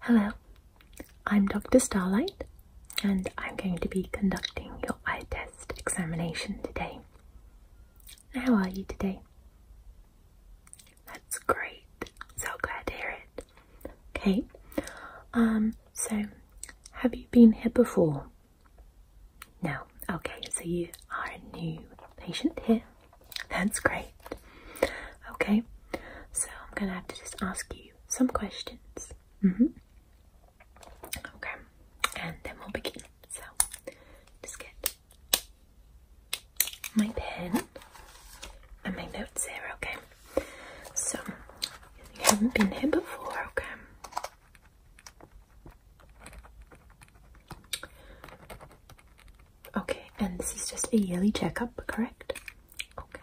Hello, I'm Dr. Starlight, and I'm going to be conducting your eye test examination today. How are you today? That's great. So glad to hear it. Okay. Um, so have you been here before? No. Okay, so you are a new patient here. That's great. Okay. So I'm gonna have to just ask you some questions. Mm-hmm. Okay, and then we'll begin. So, just get my pen and my notes here, okay? So, you haven't been here before, okay? Okay, and this is just a yearly checkup, correct? Okay.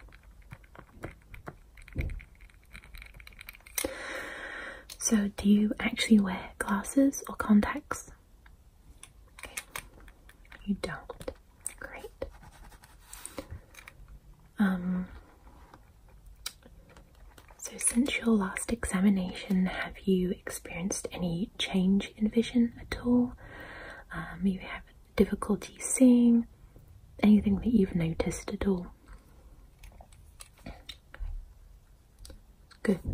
So, do you actually wear glasses or contacts? You don't. Great. Um, so, since your last examination, have you experienced any change in vision at all? Um, you have difficulty seeing anything that you've noticed at all? Good. Okay.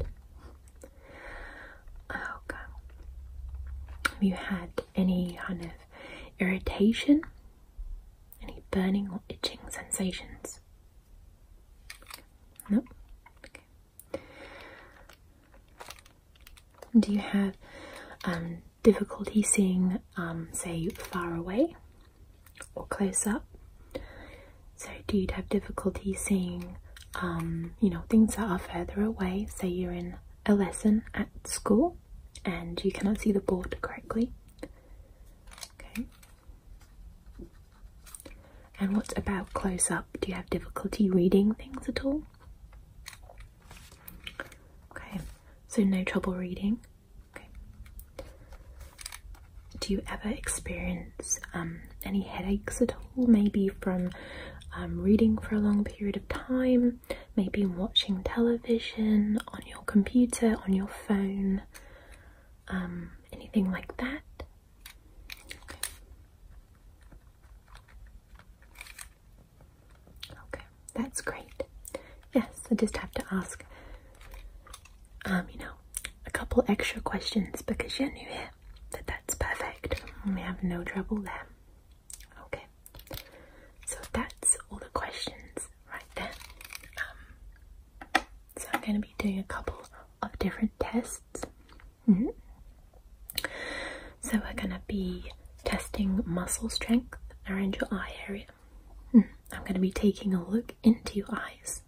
Have you had any kind of irritation? Any burning or itching sensations? No? Okay. Do you have um, difficulty seeing, um, say, far away or close up? So, do you have difficulty seeing, um, you know, things that are further away? Say you're in a lesson at school and you cannot see the board correctly. Okay. And what about close up? Do you have difficulty reading things at all? Okay, so no trouble reading. Do you ever experience um, any headaches at all? Maybe from um, reading for a long period of time, maybe watching television, on your computer, on your phone, um, anything like that? Okay, that's great. Yes, I just have to ask, um, you know, a couple extra questions because you're new here. that's perfect. We have no trouble there. Okay, so that's all the questions right there. Um, so I'm going to be doing a couple of different tests. Mm-hmm. So we're going to be testing muscle strength around your eye area. Hmm, I'm going to be taking a look into your eyes.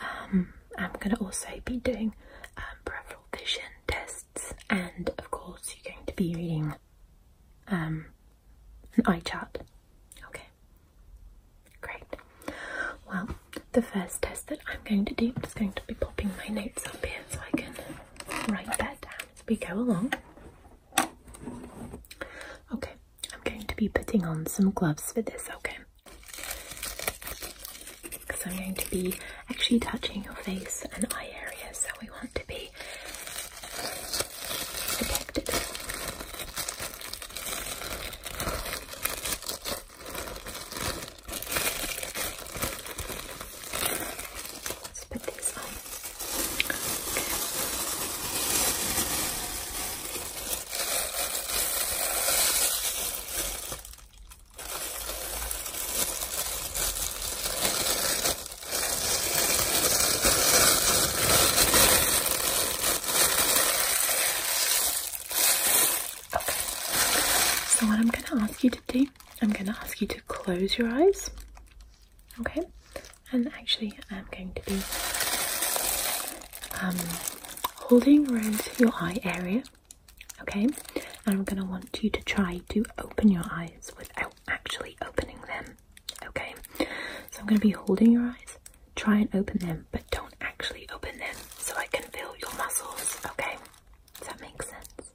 Um, I'm going to also be doing um, peripheral vision tests, and of course, you're going to be reading um, an eye chart. Okay, great. Well, the first test that I'm going to do, I'm just going to be popping my notes up here so I can write that down as we go along. Okay, I'm going to be putting on some gloves for this, okay? Because I'm going to be actually touching your face and eye area, so we want to be protected okay. So what I'm going to ask you to do, I'm going to ask you to close your eyes. Okay, and actually, I'm going to be um, holding around your eye area. Okay, and I'm going to want you to try to open your eyes without actually opening them. Okay, so I'm going to be holding your eyes, try and open them, but don't actually open them so I can feel your muscles. Okay, does that make sense?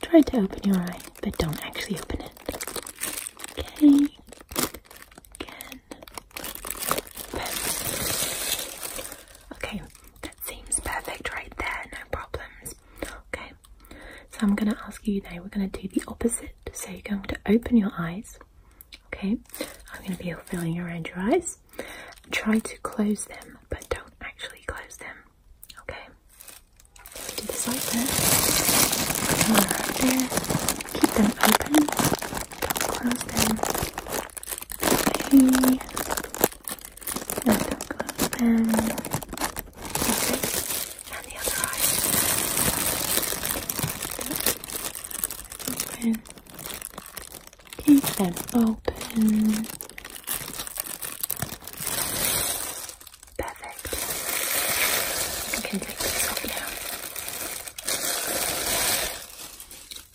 Try to open your eye, but don't actually open it. Okay. Again. Okay, that seems perfect right there, no problems. Okay, so I'm going to ask you now, we're going to do the opposite. So you're going to open your eyes, okay? I'm going to be feeling around your eyes. Try to close them, but don't actually close them. Okay. do this like this. Keep them open. Don't close them. Okay. No, do close them. Okay. And the other eye. Open. Keep them open. Perfect.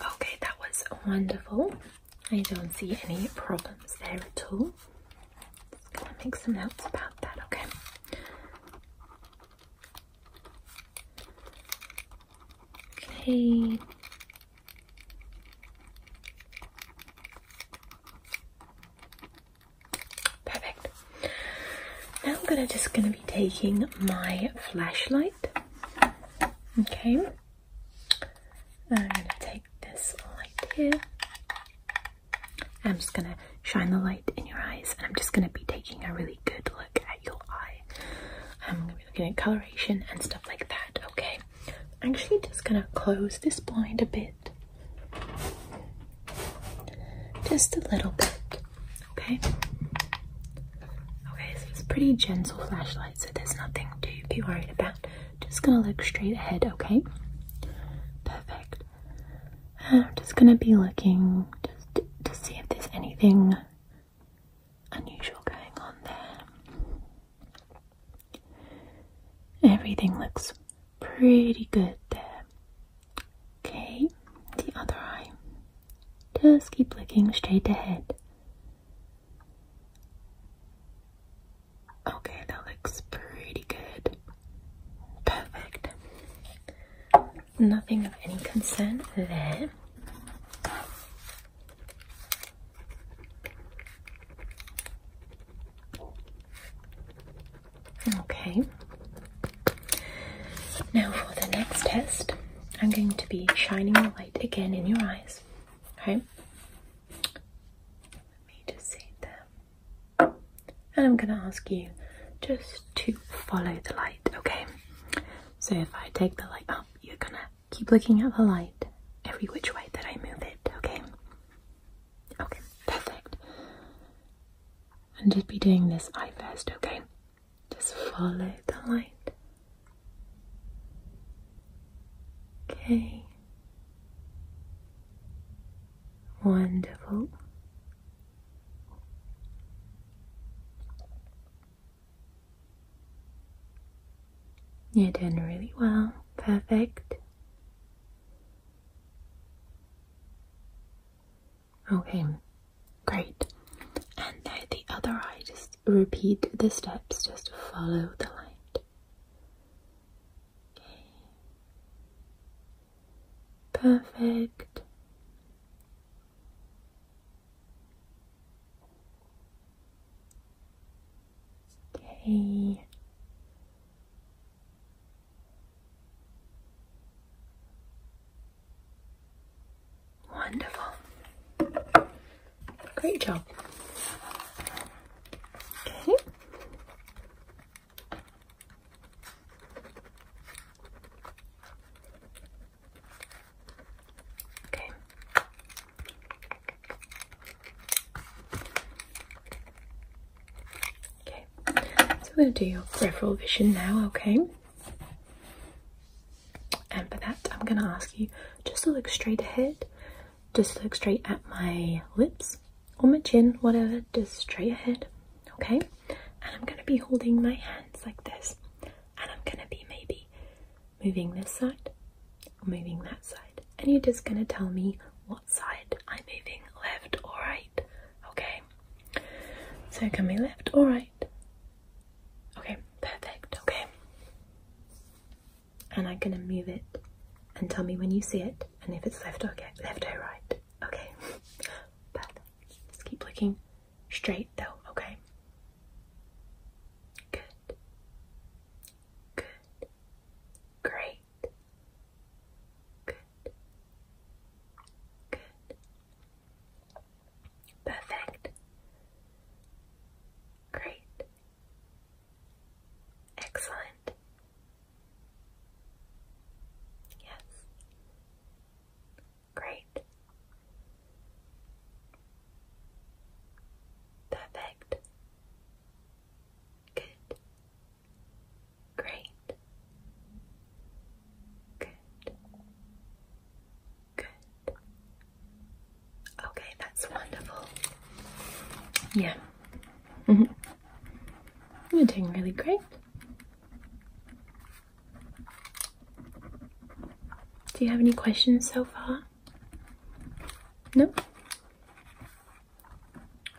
Okay, that was wonderful. I don't see any problems there at all. Just gonna make some notes about that, okay? Okay, Perfect. Now I'm gonna just gonna be taking my flashlight. Okay. I'm gonna take this light here. I'm just gonna shine the light in your eyes and I'm just gonna be taking a really good look at your eye. I'm gonna be looking at coloration and stuff like that, okay? I'm actually just gonna close this blind a bit. Just a little bit, okay? Okay, so it's pretty gentle flashlight, so there's nothing to be worried about. Just gonna look straight ahead, okay? Perfect. I'm just gonna be looking just to see if there's anything unusual going on there. Everything looks pretty good there. Okay, the other eye. Just keep looking straight ahead. Okay, that looks pretty good. Perfect. Nothing of any concern there. Okay. Now for the next test, I'm going to be shining the light again in your eyes. Okay. Let me just see there. And I'm going to ask you just to follow the light, okay? So if I take the light up, you're going to Keep looking at the light every which way that I move it, okay? Okay, perfect. And just be doing this eye first, okay? Just follow the light. Okay. Wonderful. You're doing really well. Perfect. Okay, great. And now the other eye, just repeat the steps, just follow the light. Okay. Perfect. Okay. Wonderful. Great job. Okay. Okay. Okay. So we're going to do your peripheral vision now, okay? And for that, I'm going to ask you just to look straight ahead. Just look straight at my lips or my chin, whatever. Just straight ahead, okay? And I'm going to be holding my hands like this. And I'm going to be maybe moving this side or moving that side, and you're just going to tell me what side I'm moving left or right, okay? So, can we left or right? Okay, perfect, okay. And I'm gonna move it and tell me when you see it and if it's left okay, left or right. Okay. Perfect. Just keep looking straight though, okay? Good. Good. Great. Good. Good. Perfect. Great. Excellent. Yes. Great. Perfect. Good. Great. Good. Good. Okay, that's wonderful. Yeah. Mm-hmm. You're doing really great. Do you have any questions so far? No?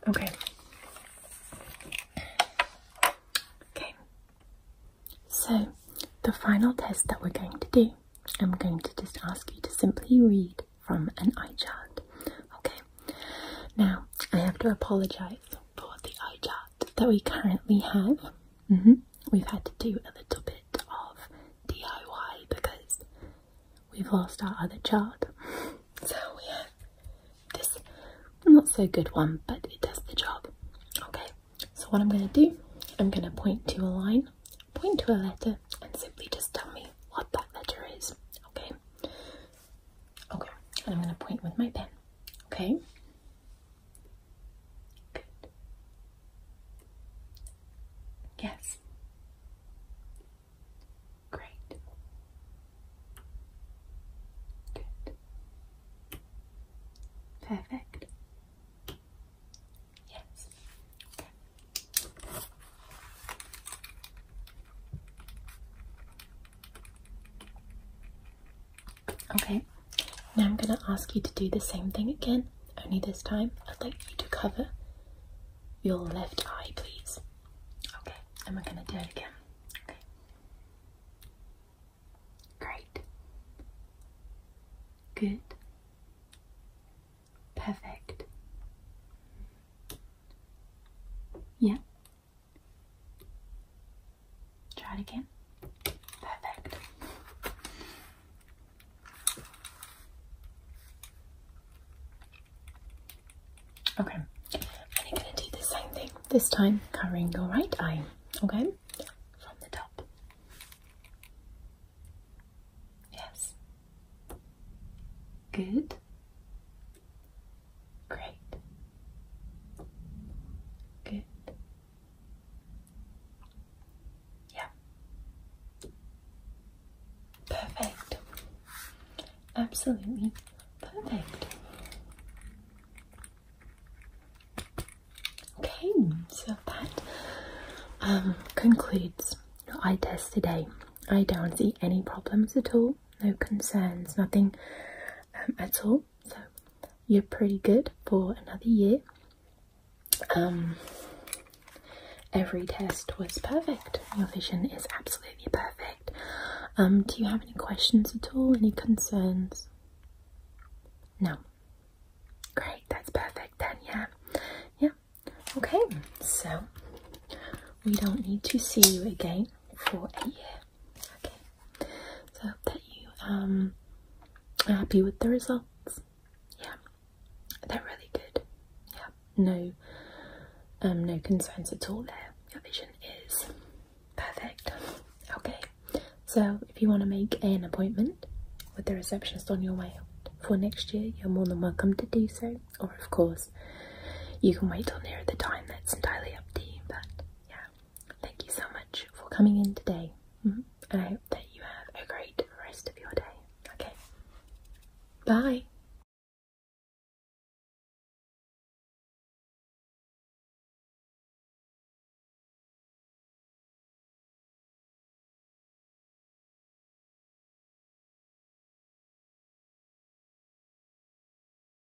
Okay. Okay. So, the final test that we're going to do, I'm going to just ask you to simply read from an eye chart. Okay. Now, I have to apologize for the eye chart that we currently have. -hmm we've had to do a little bit of DIY because we've lost our other chart, So we have this not so good one, but it does the job. Okay, so what I'm going to do, I'm going to point to a line, point to a letter, and simply just tell me what that letter is. Okay, okay, and I'm going to point with my pen. Okay, Yes. Great. Good. Perfect. Yes. Okay, now I'm going to ask you to do the same thing again, only this time I'd like you to cover your left eye, please. Okay, and we're going to do it again. Okay. Great. Good. Perfect. Yeah, Try it again. Perfect. Okay, and you're going to do the same thing, this time covering your right eye, okay? From the top. Yes. Good. Great. Good. Yeah. Perfect. Absolutely perfect. Okay, so that um, concludes your eye test today. I don't see any problems at all, no concerns, nothing um, at all so you're pretty good for another year. Um, every test was perfect. Your vision is absolutely perfect. Um, do you have any questions at all? Any concerns? No. Great, that's perfect then, Yeah. Okay, so we don't need to see you again for a year. Okay, so I hope that you um are happy with the results. Yeah, they're really good. Yeah, no, um, no concerns at all there. Your vision is perfect. Okay, so if you want to make an appointment with the receptionist on your way out for next year, you're more than welcome to do so. Or of course, you can wait till nearer the time. That's entirely up to you. But yeah, Thank you so much for coming in today, mm-hmm. and I hope that you have a great rest of your day. Okay, bye.